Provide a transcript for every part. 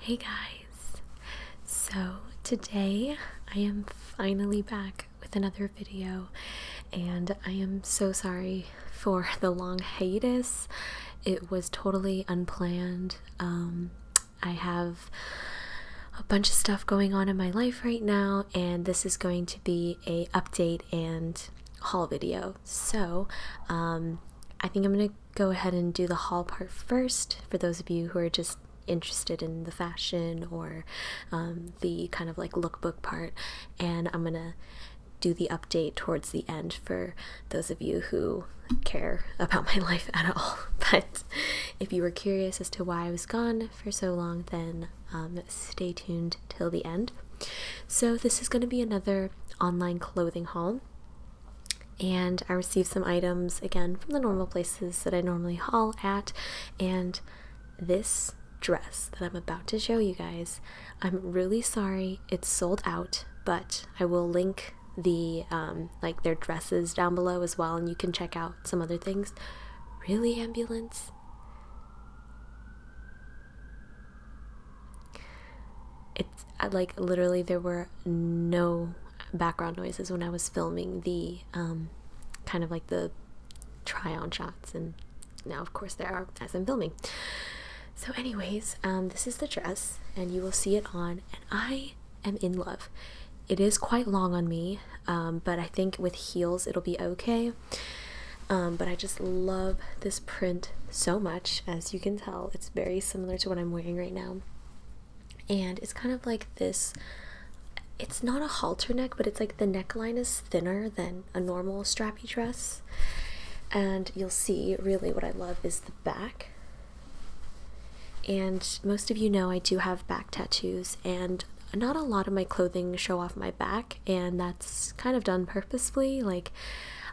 Hey guys! So today I am finally back with another video, and I am so sorry for the long hiatus. It was totally unplanned. Um, I have a bunch of stuff going on in my life right now, and this is going to be a update and haul video. So um, I think I'm gonna go ahead and do the haul part first for those of you who are just interested in the fashion or um, the kind of like lookbook part and i'm gonna do the update towards the end for those of you who care about my life at all but if you were curious as to why i was gone for so long then um, stay tuned till the end so this is going to be another online clothing haul and I received some items again from the normal places that I normally haul at. And this dress that I'm about to show you guys, I'm really sorry it's sold out, but I will link the um, like their dresses down below as well, and you can check out some other things. Really, ambulance it's like literally there were no background noises when I was filming the um, kind of like the try on shots, and now, of course, there are as I'm filming. So, anyways, um, this is the dress, and you will see it on, and I am in love. It is quite long on me, um, but I think with heels it'll be okay. but I just love this print so much. As you can tell, it's very similar to what I'm wearing right now and it's kind of like this it's not a halter neck but it's like the neckline is thinner than a normal strappy dress and you'll see really what i love is the back and most of you know i do have back tattoos and not a lot of my clothing show off my back and that's kind of done purposefully like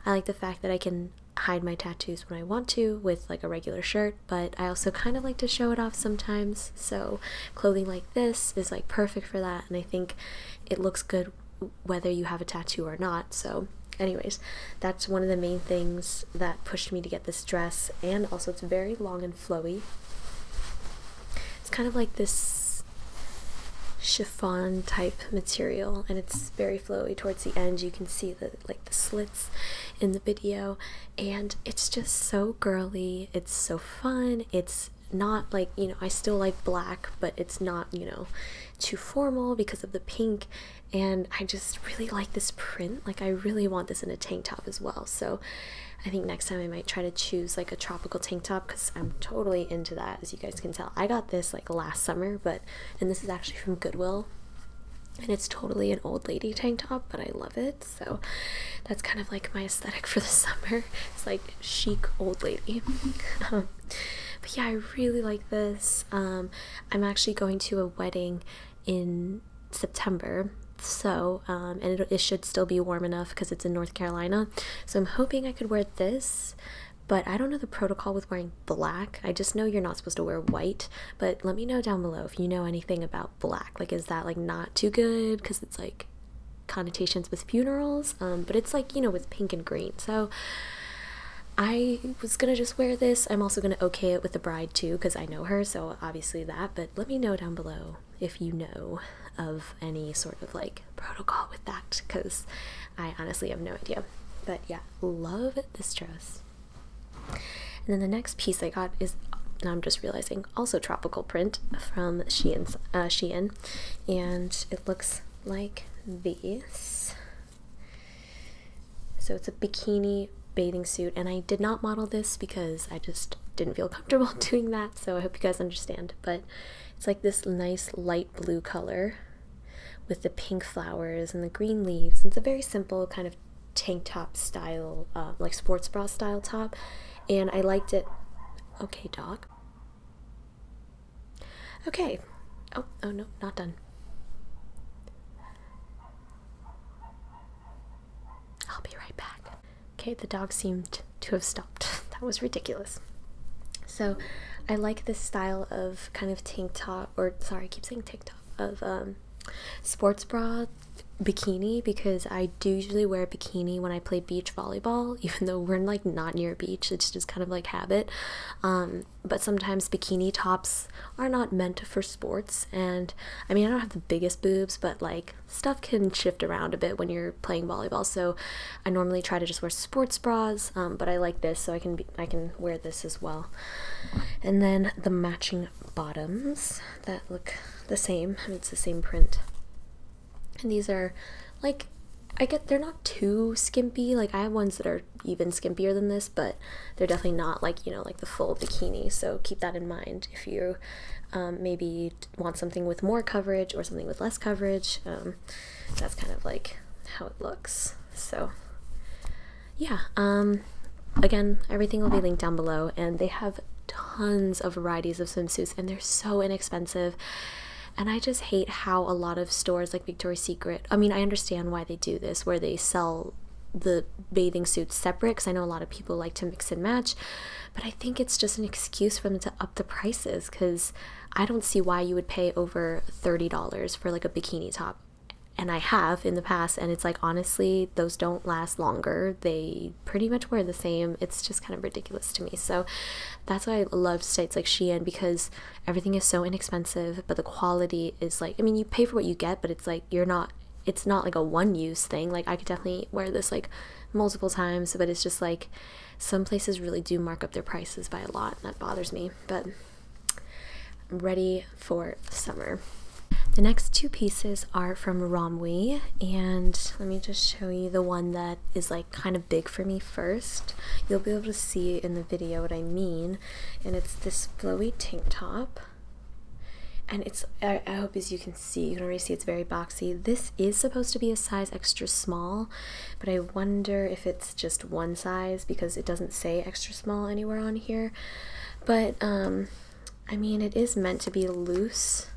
i like the fact that i can hide my tattoos when I want to with like a regular shirt, but I also kind of like to show it off sometimes. So, clothing like this is like perfect for that, and I think it looks good whether you have a tattoo or not. So, anyways, that's one of the main things that pushed me to get this dress, and also it's very long and flowy. It's kind of like this chiffon type material and it's very flowy towards the end you can see the like the slits in the video and it's just so girly it's so fun it's not like you know i still like black but it's not you know too formal because of the pink and i just really like this print like i really want this in a tank top as well so i think next time i might try to choose like a tropical tank top because i'm totally into that as you guys can tell i got this like last summer but and this is actually from goodwill and it's totally an old lady tank top but i love it so that's kind of like my aesthetic for the summer it's like chic old lady um, but yeah i really like this um, i'm actually going to a wedding in september so um, and it should still be warm enough because it's in north carolina so i'm hoping i could wear this but i don't know the protocol with wearing black. I just know you're not supposed to wear white, but let me know down below if you know anything about black. Like, is that like not too good because it's like connotations with funerals? Um, but it's like you know with pink and green. So I was gonna just wear this. I'm also gonna okay it with the bride too because I know her, so obviously that. But let me know down below if you know of any sort of like protocol with that because I honestly have no idea. But yeah, love this dress. And then the next piece I got is now I'm just realizing also tropical print from uh, Shein, and it looks like this. So it's a bikini bathing suit, and I did not model this because I just didn't feel comfortable doing that. So I hope you guys understand. But it's like this nice light blue color with the pink flowers and the green leaves. It's a very simple kind of tank top style, uh, like sports bra style top, and I liked it. Okay, dog. Okay. Oh, oh no, not done. I'll be right back. Okay, the dog seemed to have stopped. that was ridiculous. So, I like this style of kind of tank top, or sorry, I keep saying tank top, of um, sports bra bikini because I do usually wear a bikini when I play beach volleyball, even though we're like not near a beach. It's just kind of like habit. Um, but sometimes bikini tops are not meant for sports, and I mean I don't have the biggest boobs, but like stuff can shift around a bit when you're playing volleyball. So I normally try to just wear sports bras, um, but I like this so I can be. I can wear this as well. And then the matching bottoms that look the same. It's the same print. And these are like I get they're not too skimpy. Like I have ones that are even skimpier than this, but they're definitely not like, you know, like the full bikini. So keep that in mind if you um, maybe want something with more coverage or something with less coverage. Um, that's kind of like how it looks. So yeah, um, again, everything will be linked down below, and they have tons of varieties of swimsuits, and they're so inexpensive. And I just hate how a lot of stores like Victoria's Secret, I mean, I understand why they do this, where they sell the bathing suits separate because I know a lot of people like to mix and match, but I think it's just an excuse for them to up the prices because I don't see why you would pay over $30 for like a bikini top and I have in the past, and it's like honestly, those don't last longer. They pretty much wear the same. It's just kind of ridiculous to me. So that's why I love sites like Shein because everything is so inexpensive, but the quality is like I mean, you pay for what you get, but it's like you're not. It's not like a one use thing. Like I could definitely wear this like multiple times, but it's just like some places really do mark up their prices by a lot, and that bothers me. But I'm ready for summer. The next two pieces are from Romwe, and let me just show you the one that is like kind of big for me first. You'll be able to see in the video what I mean, and it's this flowy tank top. And it's, I, I hope as you can see, you can already see it's very boxy. This is supposed to be a size extra small, but I wonder if it's just one size because it doesn't say extra small anywhere on here. But um I mean it is meant to be loose.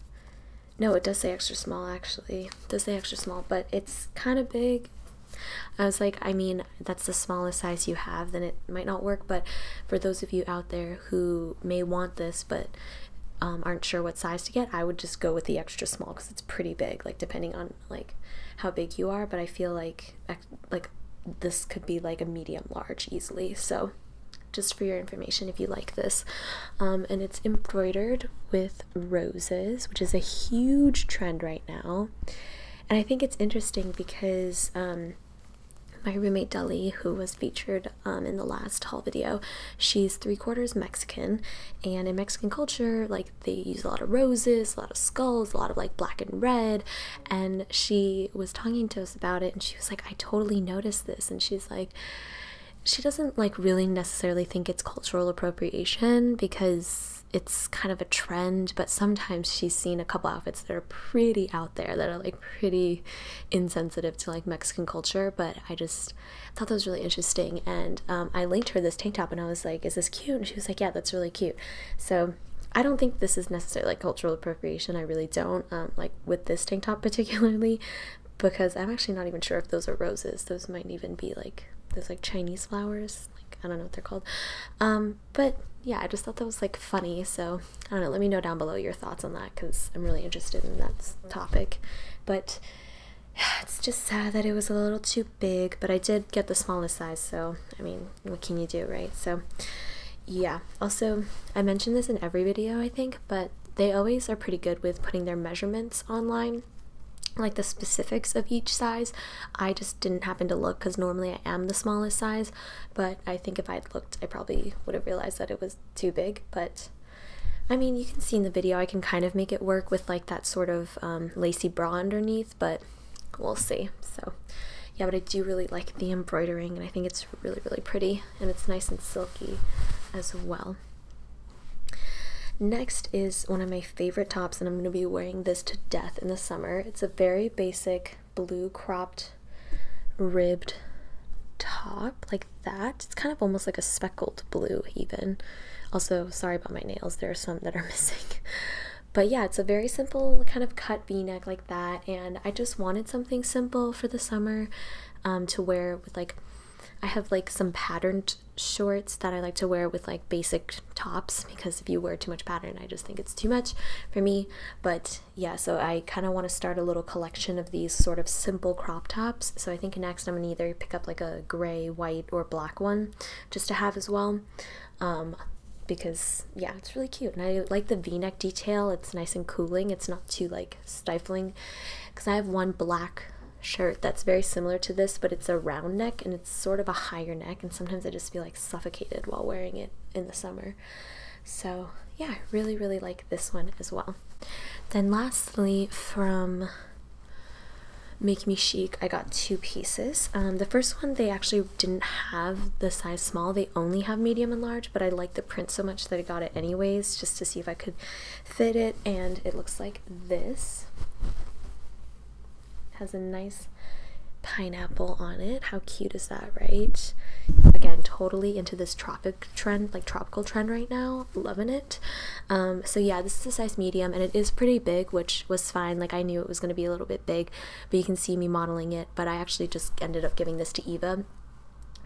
No, it does say extra small actually. does say extra small, but it's kind of big. I was like, I mean, that's the smallest size you have, then it might not work, but for those of you out there who may want this but um, aren't sure what size to get, I would just go with the extra small because it's pretty big, like depending on like how big you are, but I feel like like this could be like a medium large easily so just for your information if you like this um, and it's embroidered with roses which is a huge trend right now and i think it's interesting because um, my roommate Deli, who was featured um, in the last haul video, she's three quarters Mexican, and in Mexican culture, like they use a lot of roses, a lot of skulls, a lot of like black and red, and she was talking to us about it and she was like i totally noticed this and she's like she doesn't like really necessarily think it's cultural appropriation because it's kind of a trend but sometimes she's seen a couple outfits that are pretty out there that are like pretty insensitive to like mexican culture but i just thought that was really interesting and um, i linked her this tank top and i was like is this cute and she was like yeah that's really cute so I don't think this is necessarily like cultural appropriation. I really don't um, like with this tank top particularly because I'm actually not even sure if those are roses. Those might even be like those like Chinese flowers. Like I don't know what they're called. Um, but yeah, I just thought that was like funny. So I don't know. Let me know down below your thoughts on that because I'm really interested in that topic. But it's just sad that it was a little too big, but I did get the smallest size, so I mean, what can you do, right? So, yeah. Also, I mention this in every video, I think, but they always are pretty good with putting their measurements online, like the specifics of each size. I just didn't happen to look because normally I am the smallest size, but I think if I had looked, I probably would have realized that it was too big, but. I mean, you can see in the video, I can kind of make it work with like that sort of um, lacy bra underneath, but we'll see. So, yeah, but I do really like the embroidering, and I think it's really, really pretty, and it's nice and silky as well. Next is one of my favorite tops, and I'm going to be wearing this to death in the summer. It's a very basic blue cropped ribbed top like that. It's kind of almost like a speckled blue even. Also, sorry about my nails. There are some that are missing. But yeah, it's a very simple kind of cut v-neck like that, and I just wanted something simple for the summer um, to wear with like, I have like some patterned shorts that I like to wear with like basic tops because if you wear too much pattern, I just think it's too much for me. But yeah, so I kind of want to start a little collection of these sort of simple crop tops. So I think next I'm going to either pick up like a gray, white, or black one just to have as well um, because yeah it's really cute and i like the v-neck detail it's nice and cooling it's not too like stifling because i have one black shirt that's very similar to this but it's a round neck and it's sort of a higher neck and sometimes i just feel like suffocated while wearing it in the summer so yeah i really really like this one as well then lastly from Make Me Chic, I got two pieces. Um, the first one, they actually didn't have the size small. They only have medium and large, but I like the print so much that I got it anyways, just to see if I could fit it. And it looks like this. has a nice pineapple on it. How cute is that, right? Again, totally into this tropic trend, like tropical trend right now. Loving it. Um, so yeah, this is a size medium and it is pretty big, which was fine. Like I knew it was going to be a little bit big, but you can see me modeling it but I actually just ended up giving this to Eva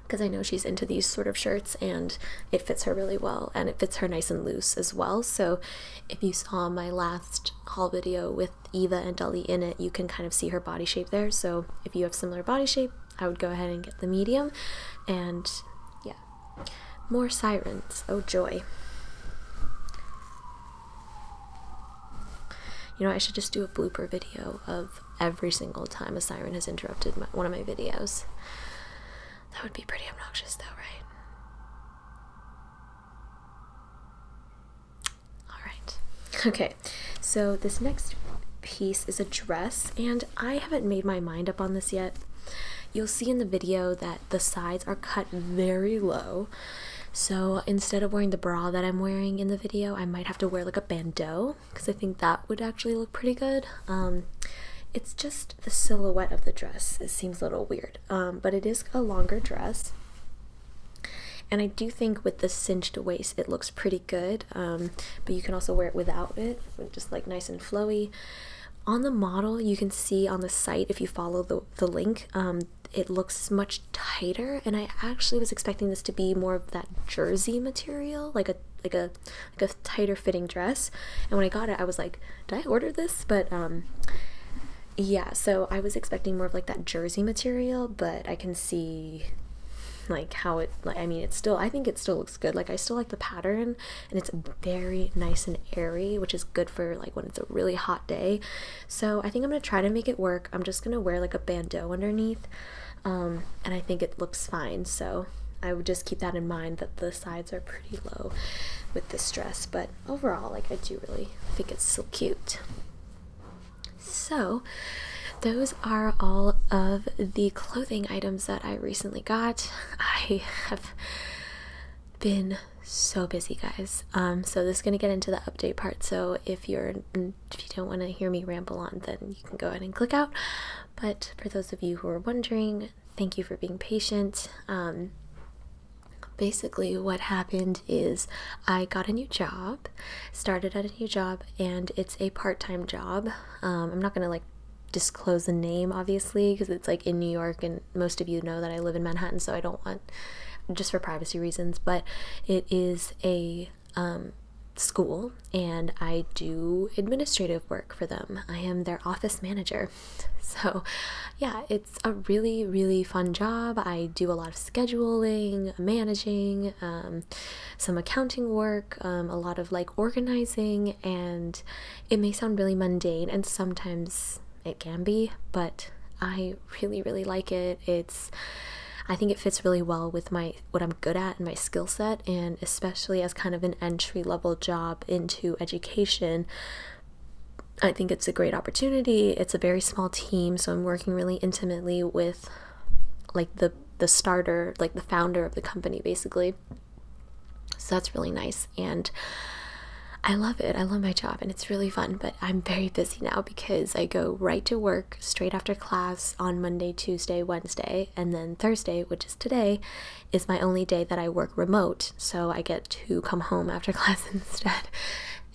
because I know she's into these sort of shirts and it fits her really well and it fits her nice and loose as well. So if you saw my last haul video with Eva and Dolly in it, you can kind of see her body shape there. So if you have similar body shape, I would go ahead and get the medium and yeah. More sirens. Oh joy. You know, I should just do a blooper video of every single time a siren has interrupted one of my videos. That would be pretty obnoxious, though, right? All right. Okay, so this next piece is a dress, and I haven't made my mind up on this yet. You'll see in the video that the sides are cut very low, so instead of wearing the bra that I'm wearing in the video, I might have to wear like a bandeau because I think that would actually look pretty good. Um, it's just the silhouette of the dress. It seems a little weird, um, but it is a longer dress. And I do think with the cinched waist, it looks pretty good. Um, but you can also wear it without it, just like nice and flowy. On the model, you can see on the site if you follow the, the link, it looks much tighter and I actually was expecting this to be more of that jersey material like a like a like a tighter fitting dress and when I got it I was like did I order this but um yeah so I was expecting more of like that jersey material but I can see like how it like I mean it's still I think it still looks good like I still like the pattern and it's very nice and airy which is good for like when it's a really hot day so I think I'm going to try to make it work. I'm just going to wear like a bandeau underneath um, and I think it looks fine. So I would just keep that in mind that the sides are pretty low with this dress. But overall, like I do really think it's so cute. So those are all of the clothing items that I recently got. I have been so busy guys um, so this is going to get into the update part so if you're if you don't want to hear me ramble on, then you can go ahead and click out. But for those of you who are wondering, thank you for being patient. Um, basically, what happened is I got a new job, started at a new job, and it's a part time job. Um, I'm not going to like disclose the name obviously because it's like in New York and most of you know that I live in Manhattan so I don't want just for privacy reasons but it is a um, school and I do administrative work for them. I am their office manager. So, yeah, it's a really, really fun job. I do a lot of scheduling, managing, um, some accounting work, um, a lot of like organizing, and it may sound really mundane and sometimes it can be, but I really, really like it. It's I think it fits really well with my what I'm good at and my skill set and especially as kind of an entry level job into education. I think it's a great opportunity. It's a very small team, so I'm working really intimately with like the the starter, like the founder of the company basically. So that's really nice and I love it. I love my job and it's really fun, but I'm very busy now because I go right to work straight after class on Monday, Tuesday, Wednesday, and then Thursday, which is today, is my only day that I work remote. So I get to come home after class instead.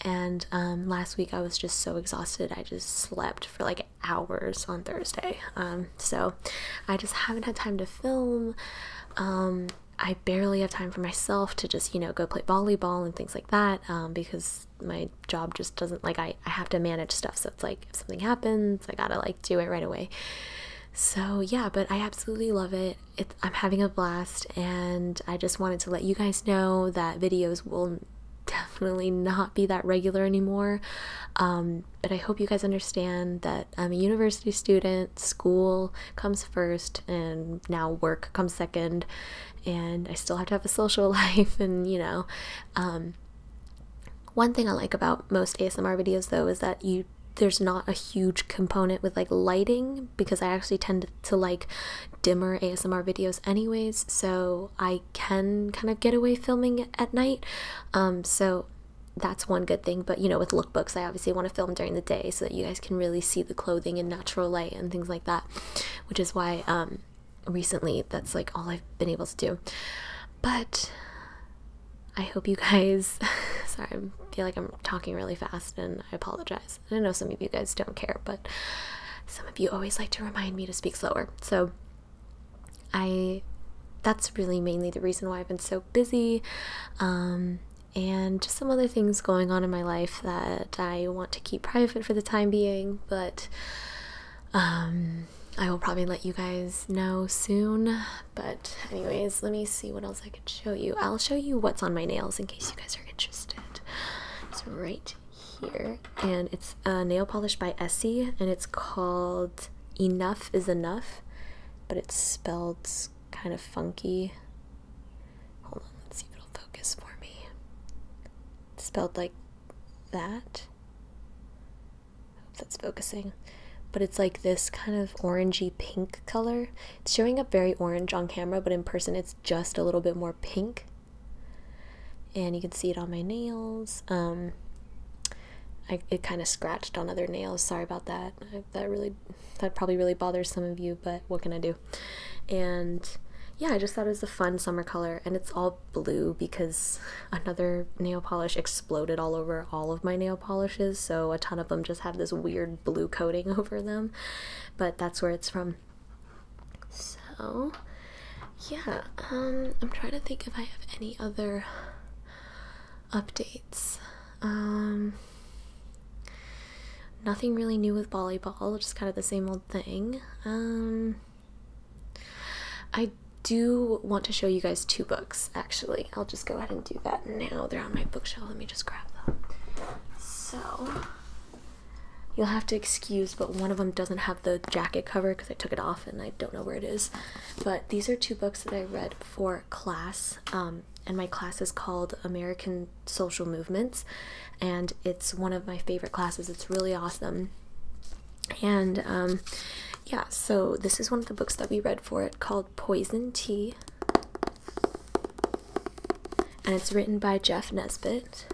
And um, last week I was just so exhausted, I just slept for like hours on Thursday. Um, so I just haven't had time to film. Um, I barely have time for myself to just, you know, go play volleyball and things like that because my job just doesn't like I, I have to manage stuff so it's like if something happens i gotta like do it right away so yeah but i absolutely love it it's, i'm having a blast and i just wanted to let you guys know that videos will definitely not be that regular anymore um, but i hope you guys understand that i'm a university student school comes first and now work comes second and I still have to have a social life and you know um one thing I like about most ASMR videos though is that you there's not a huge component with like lighting because I actually tend to like dimmer ASMR videos anyways so I can kind of get away filming at night um so that's one good thing but you know with lookbooks I obviously want to film during the day so that you guys can really see the clothing in natural light and things like that which is why um recently that's like all I've been able to do. But I hope you guys sorry, I feel like I'm talking really fast and I apologize. I know some of you guys don't care, but some of you always like to remind me to speak slower. So I that's really mainly the reason why I've been so busy. Um, and just some other things going on in my life that I want to keep private for the time being, but um, I will probably let you guys know soon. But, anyways, let me see what else I can show you. I'll show you what's on my nails in case you guys are interested. It's right here, and it's a nail polish by Essie, and it's called Enough is Enough, but it's spelled kind of funky. Hold on, let's see if it'll focus for me spelled like that. Hope that's focusing. But it's like this kind of orangey pink color. It's showing up very orange on camera, but in person it's just a little bit more pink. And you can see it on my nails. Um, I, it kind of scratched on other nails. Sorry about that. that really, that probably really bothers some of you, but what can I do? And yeah, I just thought it was a fun summer color, and it's all blue because another nail polish exploded all over all of my nail polishes, so a ton of them just have this weird blue coating over them. But that's where it's from. So, yeah, um, I'm trying to think if I have any other updates. Um, nothing really new with volleyball, just kind of the same old thing. Um, I do want to show you guys two books actually. I'll just go ahead and do that now. They're on my bookshelf. Let me just grab them. So you'll have to excuse, but one of them doesn't have the jacket cover because I took it off and I don't know where it is. But these are two books that I read for class. Um, and my class is called American Social Movements and it's one of my favorite classes. It's really awesome. And um, yeah, so this is one of the books that we read for it called Poison Tea. And it's written by Jeff Nesbitt.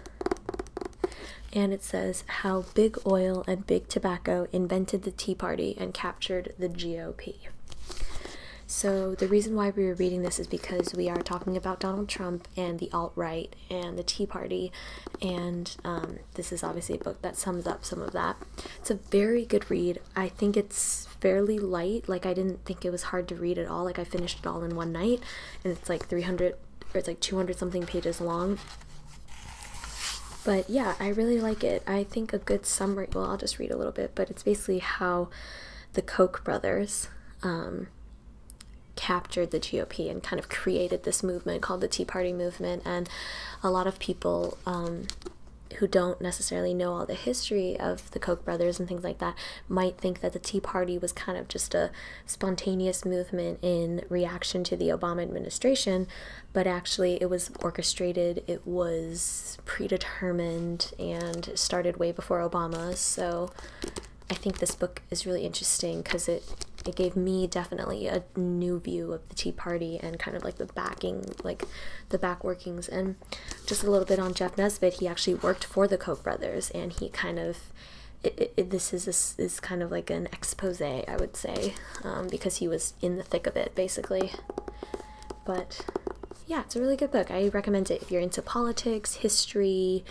And it says How Big Oil and Big Tobacco Invented the Tea Party and Captured the GOP. So, the reason why we were reading this is because we are talking about Donald Trump and the alt right and the Tea Party, and um, this is obviously a book that sums up some of that. It's a very good read. I think it's fairly light. Like I didn't think it was hard to read at all. Like I finished it all in one night, and it's like 300 or it's like 200 something pages long. But yeah, I really like it. I think a good summary. Well, I'll just read a little bit, but it's basically how the Koch brothers. Um, captured the GOP and kind of created this movement called the Tea Party movement. And a lot of people um, who don't necessarily know all the history of the Koch brothers and things like that might think that the Tea Party was kind of just a spontaneous movement in reaction to the Obama administration, but actually it was orchestrated, it was predetermined, and started way before Obama. So I think this book is really interesting because it it gave me definitely a new view of the Tea Party and kind of like the backing, like the back workings. And just a little bit on Jeff Nesbitt, he actually worked for the Koch brothers, and he kind of this is this is kind of like an expose, I would say, um, because he was in the thick of it basically. But yeah, it's a really good book. I recommend it if you're into politics, history,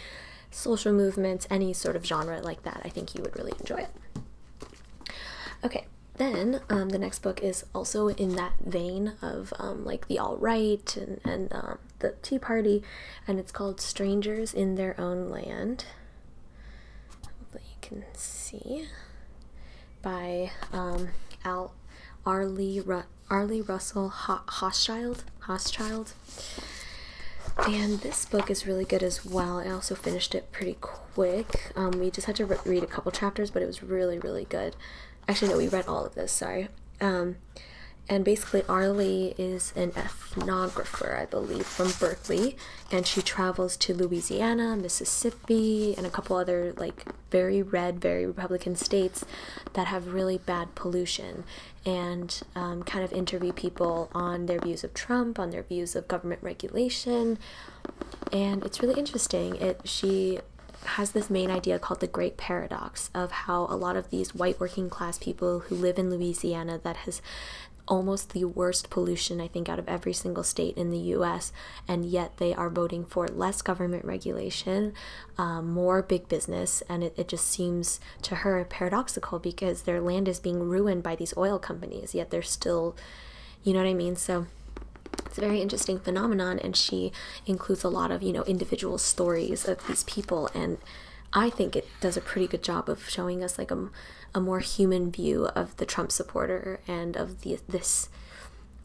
social movements, any sort of genre like that. I think you would really enjoy it. Okay, then um, the next book is also in that vein of um, like the all right and, um, the Tea Party, and it's called Strangers in Their Own Land. Hopefully, you can see by um, Al Arlie, Arlie Russell Ho Hochschild. And this book is really good as well. I also finished it pretty quick. Um, we just had to read a couple chapters, but it was really, really good. Actually, no, we read all of this, sorry. Um, and basically, Arlie is an ethnographer, I believe, from Berkeley, and she travels to Louisiana, Mississippi, and a couple other like very red, very Republican states that have really bad pollution and um, kind of interview people on their views of Trump, on their views of government regulation, and it's really interesting. It she has this main idea called the Great Paradox of how a lot of these white working class people who live in Louisiana that has almost the worst pollution, I think, out of every single state in the US, and yet they are voting for less government regulation, uh, more big business, and it, it just seems to her paradoxical because their land is being ruined by these oil companies, yet they're still, you know what I mean? So it's a very interesting phenomenon, and she includes a lot of, you know, individual stories of these people. And I think it does a pretty good job of showing us like a, a more human view of the Trump supporter and of the, this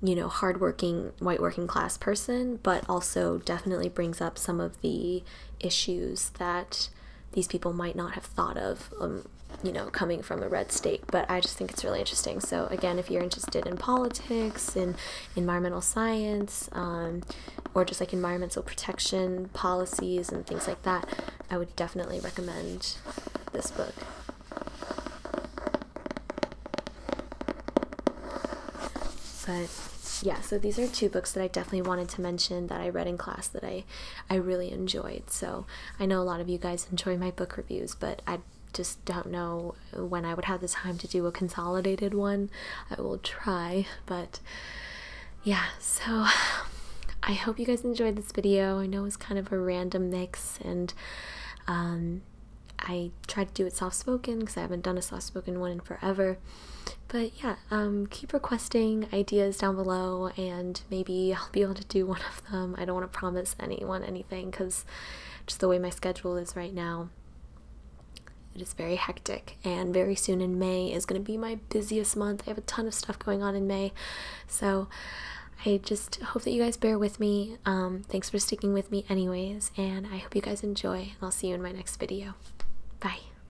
you know, hardworking white working class person, but also definitely brings up some of the issues that these people might not have thought of, um, you know, coming from a red state. But I just think it's really interesting. So again, if you're interested in politics, in environmental science, um, or just like environmental protection policies and things like that, I would definitely recommend this book. But yeah, so these are two books that I definitely wanted to mention that I read in class that I I really enjoyed. So I know a lot of you guys enjoy my book reviews, but I just don't know when I would have the time to do a consolidated one. I will try, but yeah, so I hope you guys enjoyed this video. I know it was kind of a random mix and um, I tried to do it soft spoken because I haven't done a soft spoken one in forever. But yeah, um, keep requesting ideas down below, and maybe I'll be able to do one of them. I don't want to promise anyone anything because just the way my schedule is right now, it is very hectic. And very soon in May is going to be my busiest month. I have a ton of stuff going on in May, so I just hope that you guys bear with me. Um, thanks for sticking with me, anyways, and I hope you guys enjoy. And I'll see you in my next video. Bye.